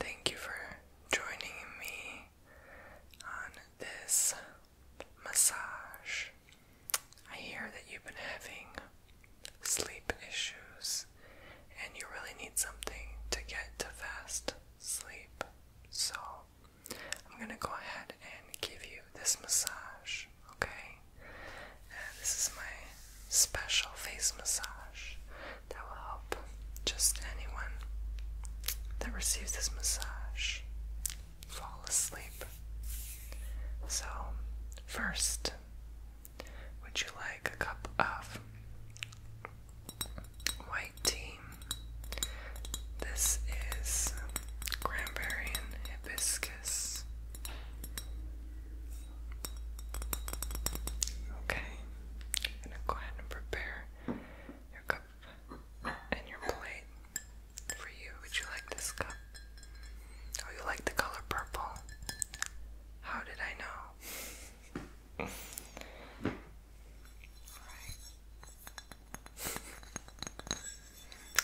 Thank you for joining me on this massage. I hear that you've been having sleep issues and you really need something to get to fast sleep. So, I'm going to go ahead and give you this massage, okay? this is my special face massage that will help just anyone that receives this massage fall asleep. So, first, would you like a cup of white tea? This is cranberry and hibiscus. Okay. I'm gonna go ahead and prepare your cup and your plate for you. Would you like this cup? Oh, you like the color purple? How did I know?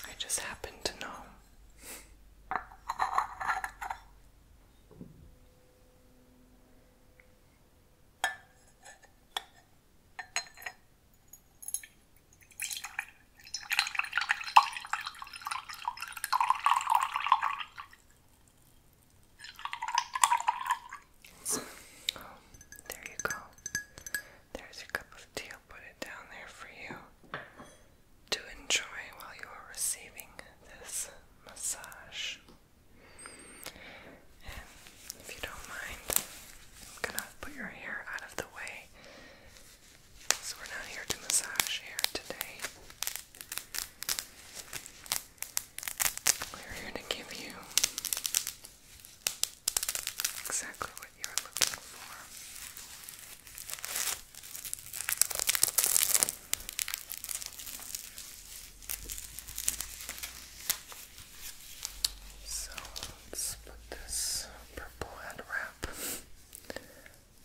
I just happened to know there you go. There's your cup of tea. I'll put it down there for you to enjoy while you are receiving this massage if you don't mind, I'm gonna put your hair out of the way. So we're not here to massage hair today. We're here to give you exactly what you're looking for. So let's put this purple end wrap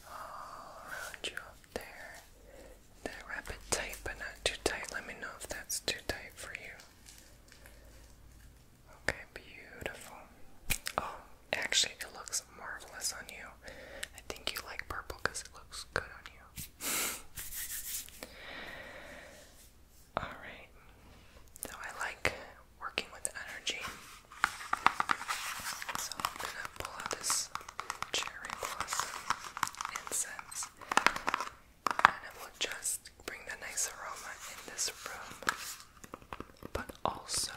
all around you up there. Then wrap it tight but not too tight. Let me know if that's too tight for you. Okay, beautiful. Oh, actually, it looks marvelous on you. I think you like purple because it looks good on you. All right. So I like working with energy. So I'm gonna pull out this cherry blossom incense, and it will just bring the nice aroma in this room, but also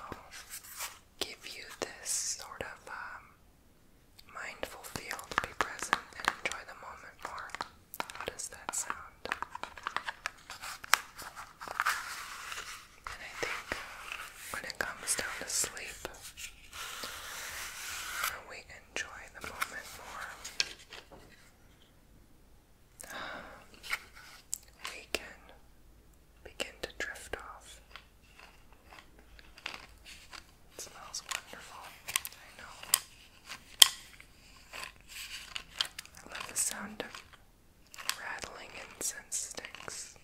give you this sort of um, mindful field, be present and enjoy the moment more. How does that sound? And I think uh, when it comes down to sleep, we enjoy the moment more. We can begin to drift off it smells wonderful. I know. I love the sound of rattling incense sticks.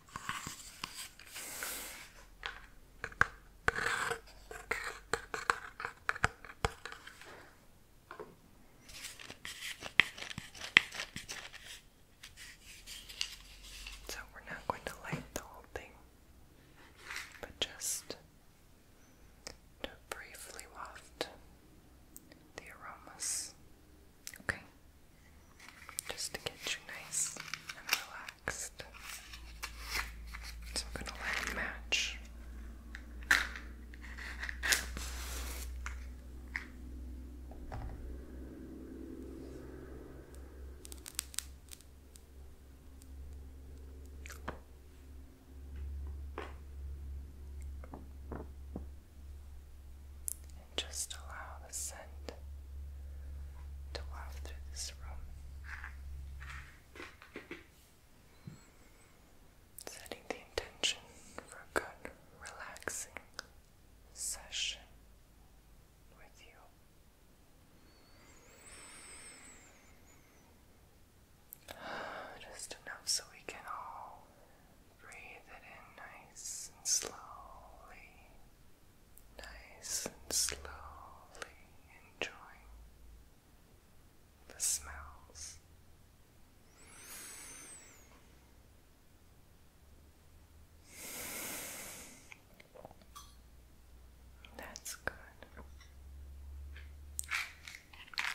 So we're not going to light the whole thing, but just to briefly waft the aromas. Okay. Just to get you nice and relaxed. So I'm gonna light a match just allow the scent to waft through this room. Setting the intention for a good, relaxing session with you. Just enough so we can all breathe it in nice and slowly nice and slowly enjoying the smells. That's good.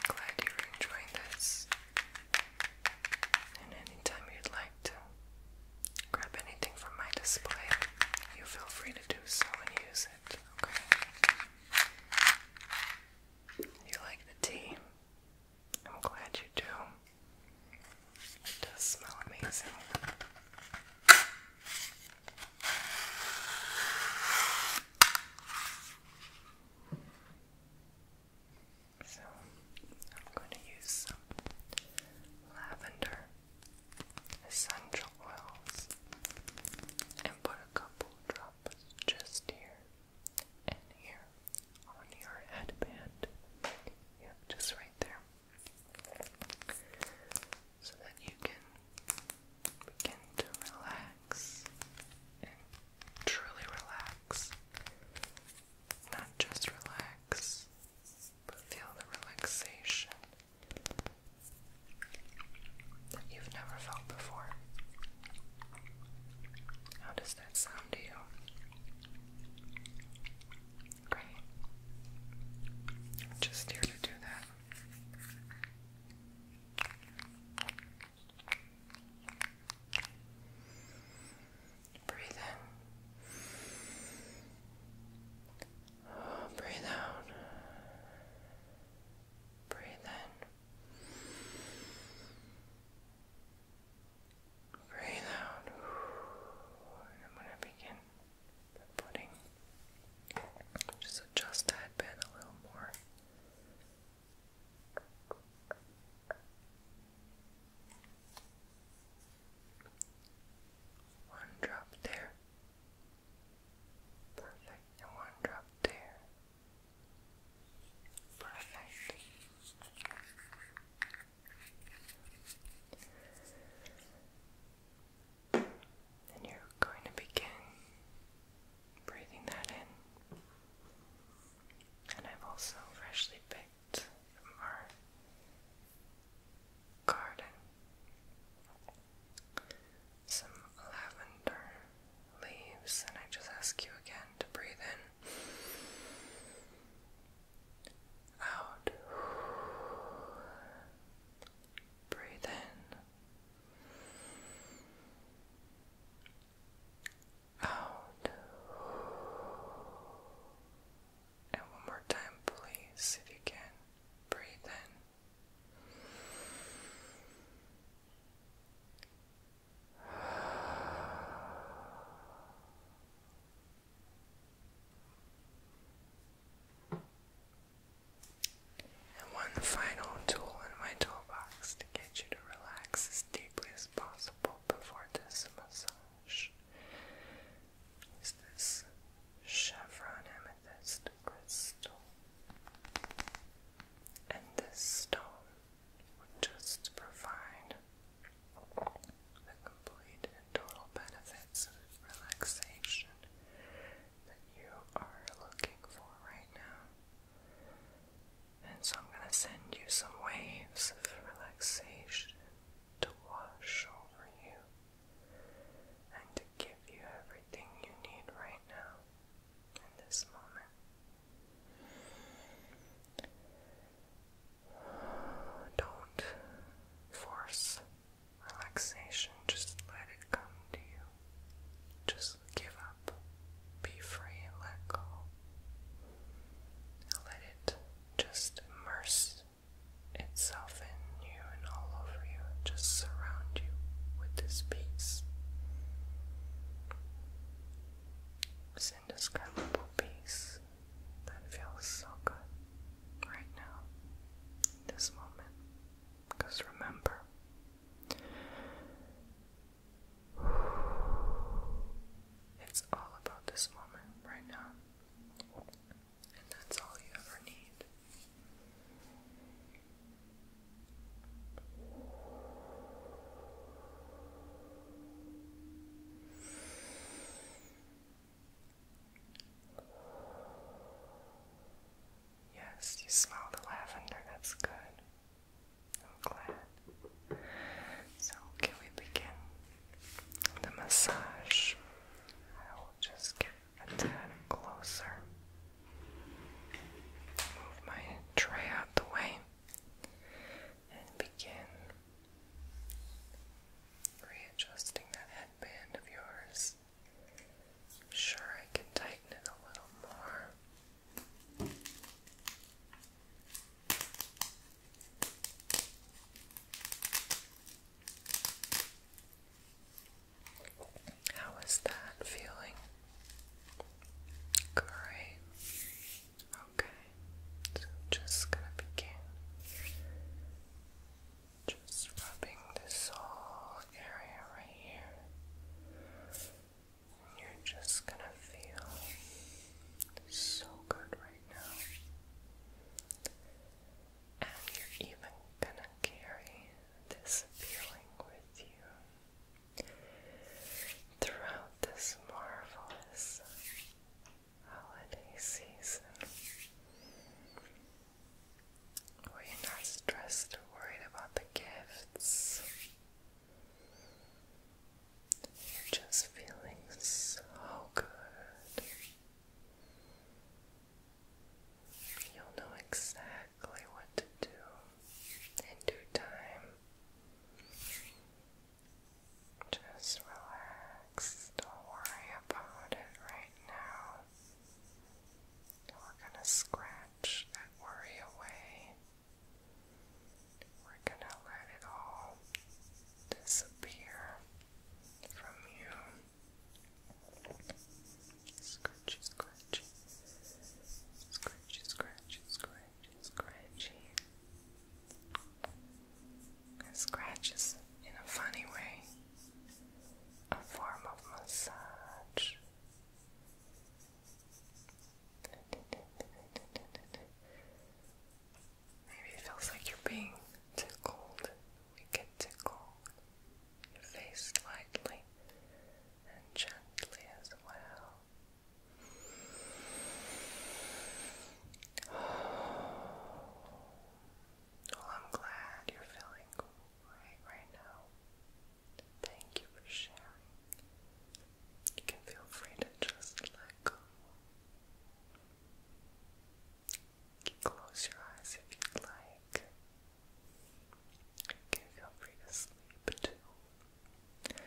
glad you're enjoying this. And anytime you'd like, grab anything from my display, you feel free to do so and use it, okay? You like the tea? I'm glad you do. It does smell amazing. So, I'm going to use some lavender essential oils and put a couple drops just here and here on your headband. Yeah, just right there. So that you can begin to relax and truly relax. Not just relax, but feel the relaxation that you've never felt before. How does that sound to you? Great. I'm just here to do that. Breathe in. breathe out. Breathe in. Breathe out. And I'm going to begin putting just adjust that bit a little more. One drop there. Perfect. And one drop there. Perfect. Then you're going to begin breathing that in. And I've also freshly picked our garden. Some lavender leaves, and I just ask you again to breathe in, out, breathe in, out, and one more time, please, if you can. Breathe in. And one final tool in my toolbox to get you to relax as deeply as possible before this massage gosh. Is this chevron amethyst crystal? And this stone would just provide the complete and total benefits of relaxation that you are looking for right now. And so I'm going to send you some waves of relaxation to wash over you and to give you everything you need right now in this moment. Don't force relaxation, just let it come to you. Just give up, be free, and let go. Let it just immerse itself in you and all over you, just surround you with this peace. This indescribable peace that feels so good right now, in this moment. Because remember, it's all about this moment right now and that's all you ever need. Yes, you smell the lavender, that's good. I'm glad. So, can we begin? the massage. I will just get a tad closer. Move my tray out the way and begin readjusting that headband of yours. sure, I can tighten it a little more. How is that feeling? Great. Okay. So just gonna begin just rubbing this whole area right here. you're just gonna feel so good right now and you're even gonna carry this feeling with you throughout this marvelous holiday season where you're not stressed or worried about the gifts. You're just feeling so good You'll know exactly what to do in due time. Just relax. Don't worry about it right now. We're going to scratch that worry away. We're going to let it all disappear from you. Scratchy, scratchy. Scratchy, scratchy, scratchy, scratchy. And scratches in a funny way. A form of massage. Maybe it feels like you're being tickled. We get tickled. Your face lightly and gently as well. Well, I'm glad you're feeling right right now. Thank you for sharing. You can feel free to just let go close your eyes if you'd like. You can feel free to sleep too.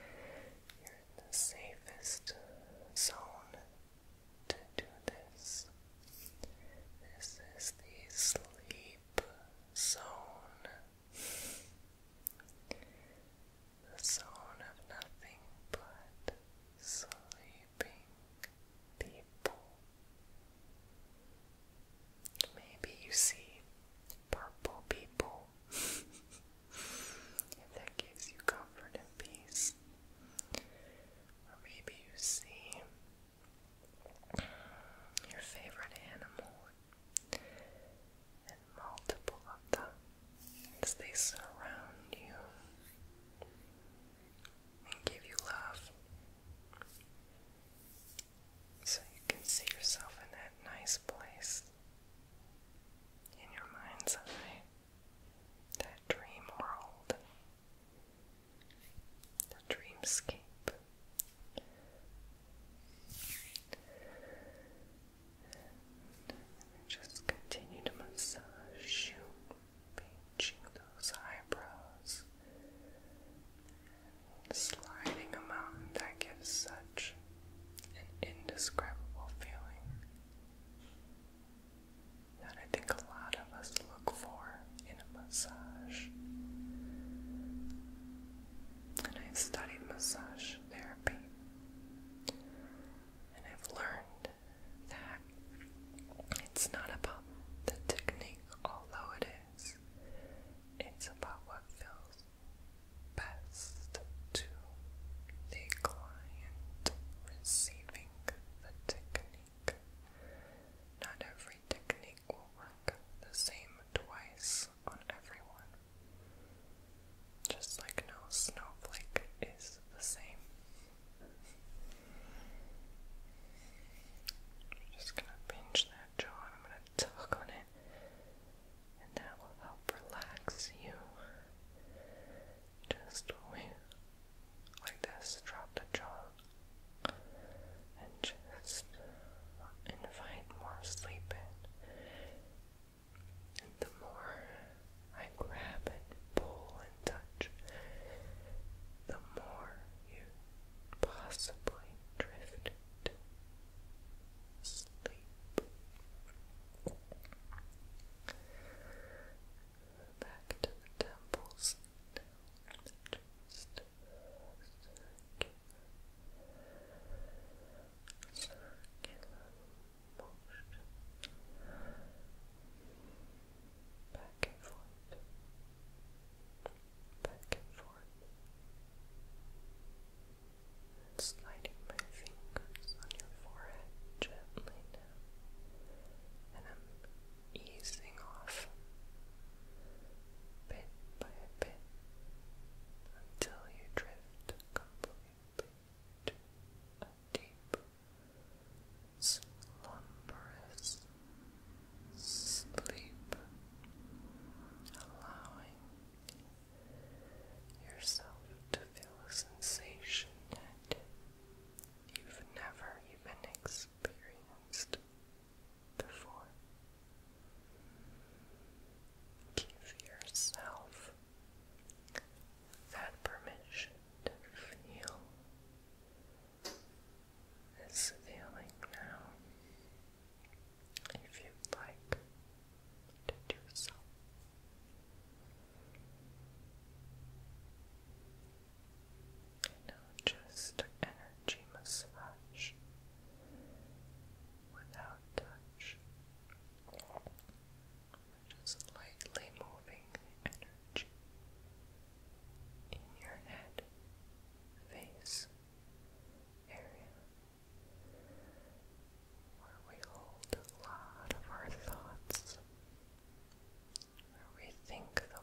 You're in the safest zone to do this. This is the sleep zone. The zone of nothing but sleeping people. Maybe you see purple people. if that gives you comfort and peace. Or maybe you see your favorite animal and multiple of them as they surround you and give you love. So you can see yourself in that nice place in your mind's eye, that dream world, the dreamscape. And just continue to massage you pinching those eyebrows sliding them out. That gives such an indescribable feeling that I think a lot of us look for in a massage. And I've studied massage therapy. And I've learned that it's not about the technique, although it is, it's about what feels best to the client receiving the technique. Not every technique will work the same twice on everyone. Just like no snowflake is the same just gonna pinch that jaw I'm gonna tug on it, and that will help relax you. Just like this, drop the jaw and just invite more sleep in. the more I grab and pull and tug the more you possibly drift sleep. Back to the temples Back and forth, back and forth, sliding my fingers on your forehead gently and I'm easing off bit by bit until you drift completely to a deep slumberous sleep, allowing yourself to feel a sensation that you've never even experienced before. Give yourself that permission to feel this feeling now. If you'd like to do so. Now just energy massage without touch. Just lightly moving energy in your head, face area where we hold a lot of our thoughts, where we think the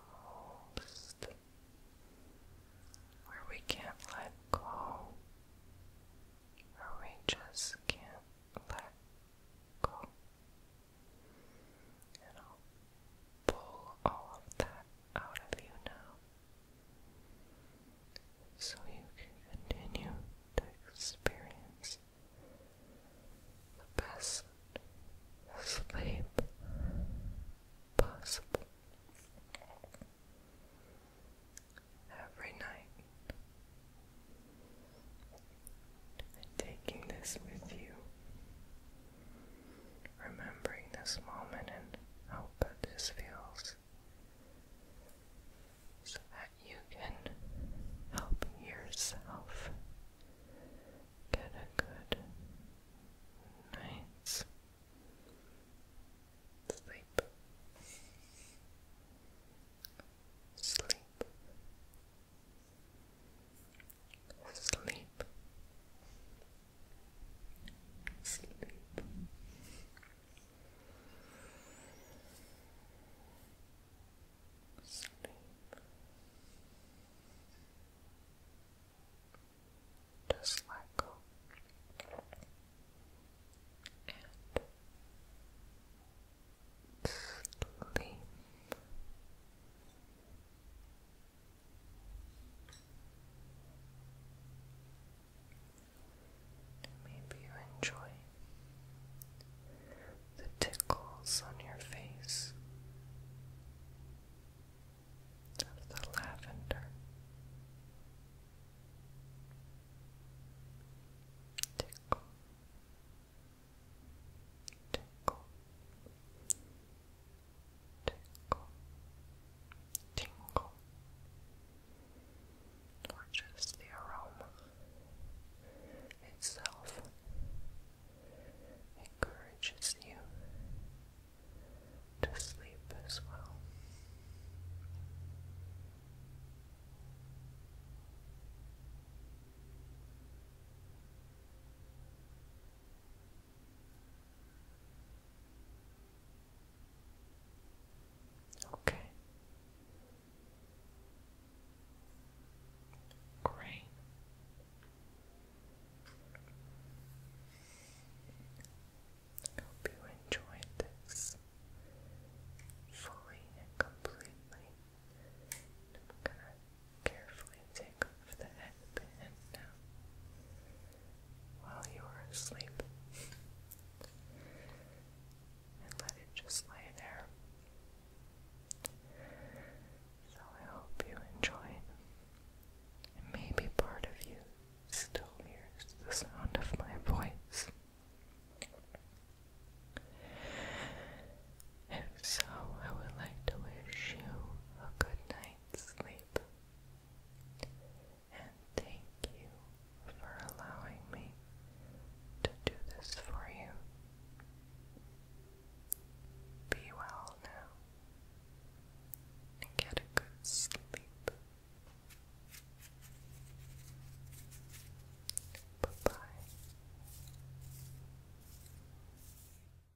most, where we can't let go, where we just can't let go. And I'll pull all of that out of you now. So you can continue to experience the best sleep possible. Every night, and taking this with you remembering this moment and how good this feels, so that you can help yourself get a good night's sleep. Sleep. Sleep. Sleep. Sleep. Just let go and Sleep. Maybe you enjoy the tickles on your face of the lavender. Tickle, tickle, tingle, tingle, or just the aroma itself encourages you to sleep as well. Okay. Great. I hope you enjoyed this fully and completely. i Carefully take off the headband while you are asleep and let it just lay there. So I hope you enjoyed. maybe part of you still hears the sound of my voice. If so, I would like to wish you a good night sleep. And thank you for allowing me to do this for you. Be well now and get a good sleep. Bye